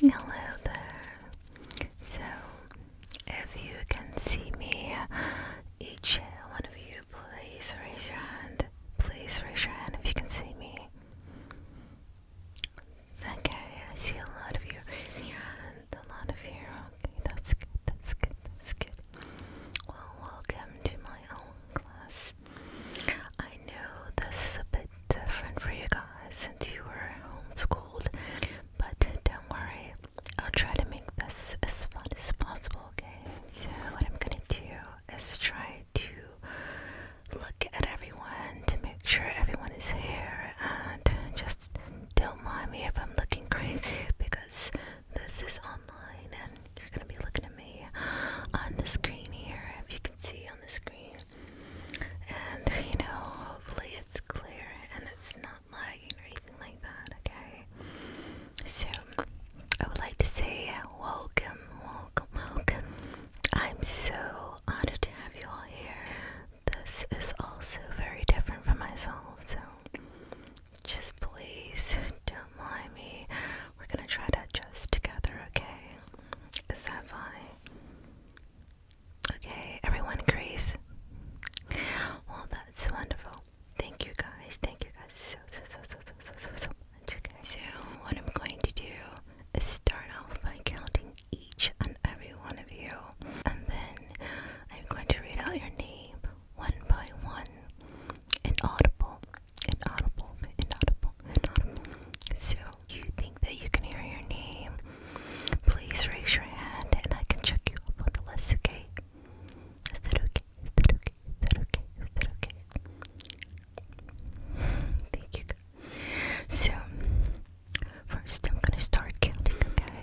Hello there. So, if you can see me, each one of you, please raise your hand. Please raise your hand if you can see me. Okay, I see a lot of you raising your hand. A lot of you. Okay, that's good. That's good. That's good. Well, welcome to my own class. I know this is a bit different for you guys since you were homeschooled, but don't worry, I'll try to make this as fun as possible, okay? So, what I'm gonna do is try to look at everyone to make sure everyone is here and just don't mind me if I'm looking crazy because this is online and you're gonna be looking at me on the screen here if you can see on the screen and you know, hopefully it's clear and it's not lagging or anything like that, okay? So I would like to say welcome, welcome, welcome. I'm so honored to have you all here. This is also very different from myself, so just please don't mind me. We're gonna try to adjust together, okay? Is that fine? Okay, everyone agrees. Well, that's wonderful. Thank you guys. Thank you guys so so so so so so so much. Okay. So what I'm going to do is start off by counting each and every one of you, and then I'm going to read out your name one by one, inaudible inaudible, inaudible, inaudible. So, you think that you can hear your name? Please raise your hand and I can check you up on the list, okay? Is that okay? Is that okay? Is that okay? Is that okay? Thank you. So, first I'm gonna start counting, okay?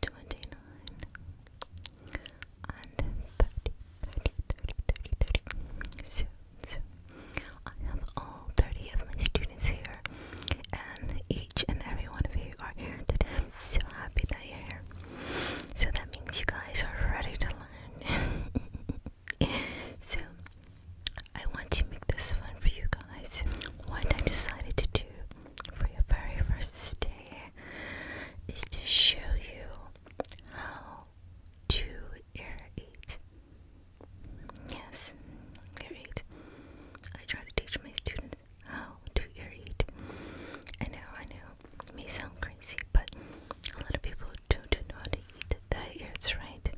twenty nine and 30, 30, So, so I have all 30 of my students here, and each and every one of you are here today. so happy that you're here. So that means you guys are ready to learn. so I want to make this fun for you guys. What I decided to do for your very first day is to show you how to irrigate. Yes, irrigate. I try to teach my students how to irrigate. I know, I know, may sound crazy, but a lot of people don't know how to eat the ears, right?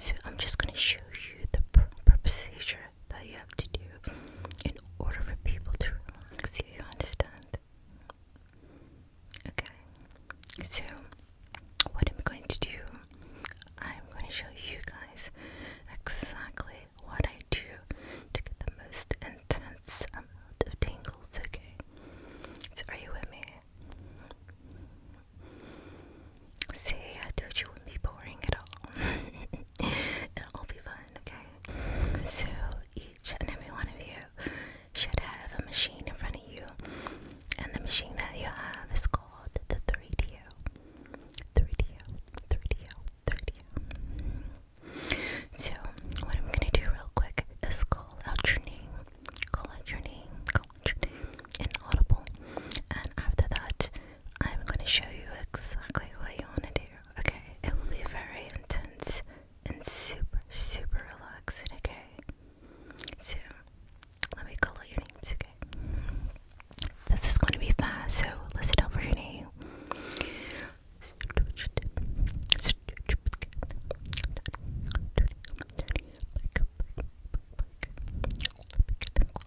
So I'm just gonna show you the proper procedure that you have to do in order for people to relax. Do you understand? Okay, so what I'm going to do, I'm going to show you guys exactly what I do to get the most intense amount of tingles, okay? So, are you with me? See, I told you it wouldn't be boring at all. It'll all be fun okay? So each and every one of you should have a machine in front of you, and the machine that you have is called the 3DO. 3DO, 3DO, 3DO. So, what I'm gonna do real quick is call out your name, call out your name, call out your name in Audible, and after that, I'm gonna show you exactly what you wanna do, okay? It will be very intense and super, super relaxing, okay? So, let me call out your names, okay? This is gonna be fast, so listen out for your name.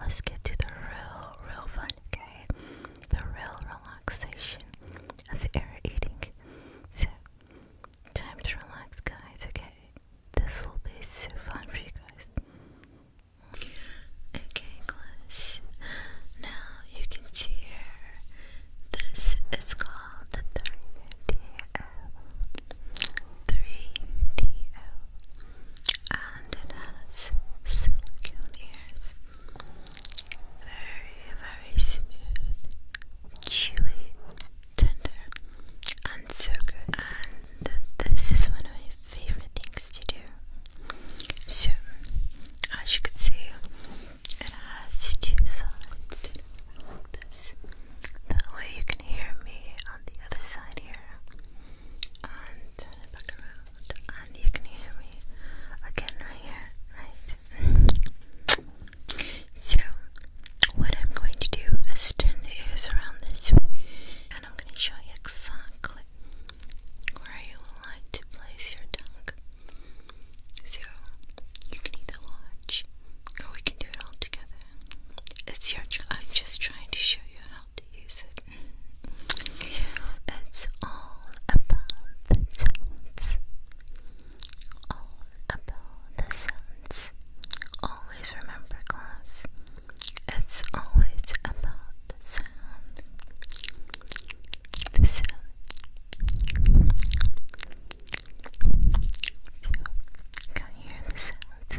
let's get to the real, real fun, okay? The real relaxation of air eating. So, time to relax, guys, okay? This will be so fun for you guys. Okay, guys. Now you can see here. This is called the 3DO. 3DO and it has silicone ears. Very, very smooth, chewy, tender, and so good. And this is one of my favorite things to do. So, as you can see, it has two sides this. That way you can hear me on the other side here and turn it back around, and you can hear me again right here, right? so, what I'm going to do is turn the ears around this way, and I'm going to show you exactly where you would like to place your tongue. So, you can either watch or we can do it all together. It's your. I'm just trying to show you how how So it's all about the sounds. All about the sounds. Always remember, class. It's always about the sound. The sound. can you hear the sound?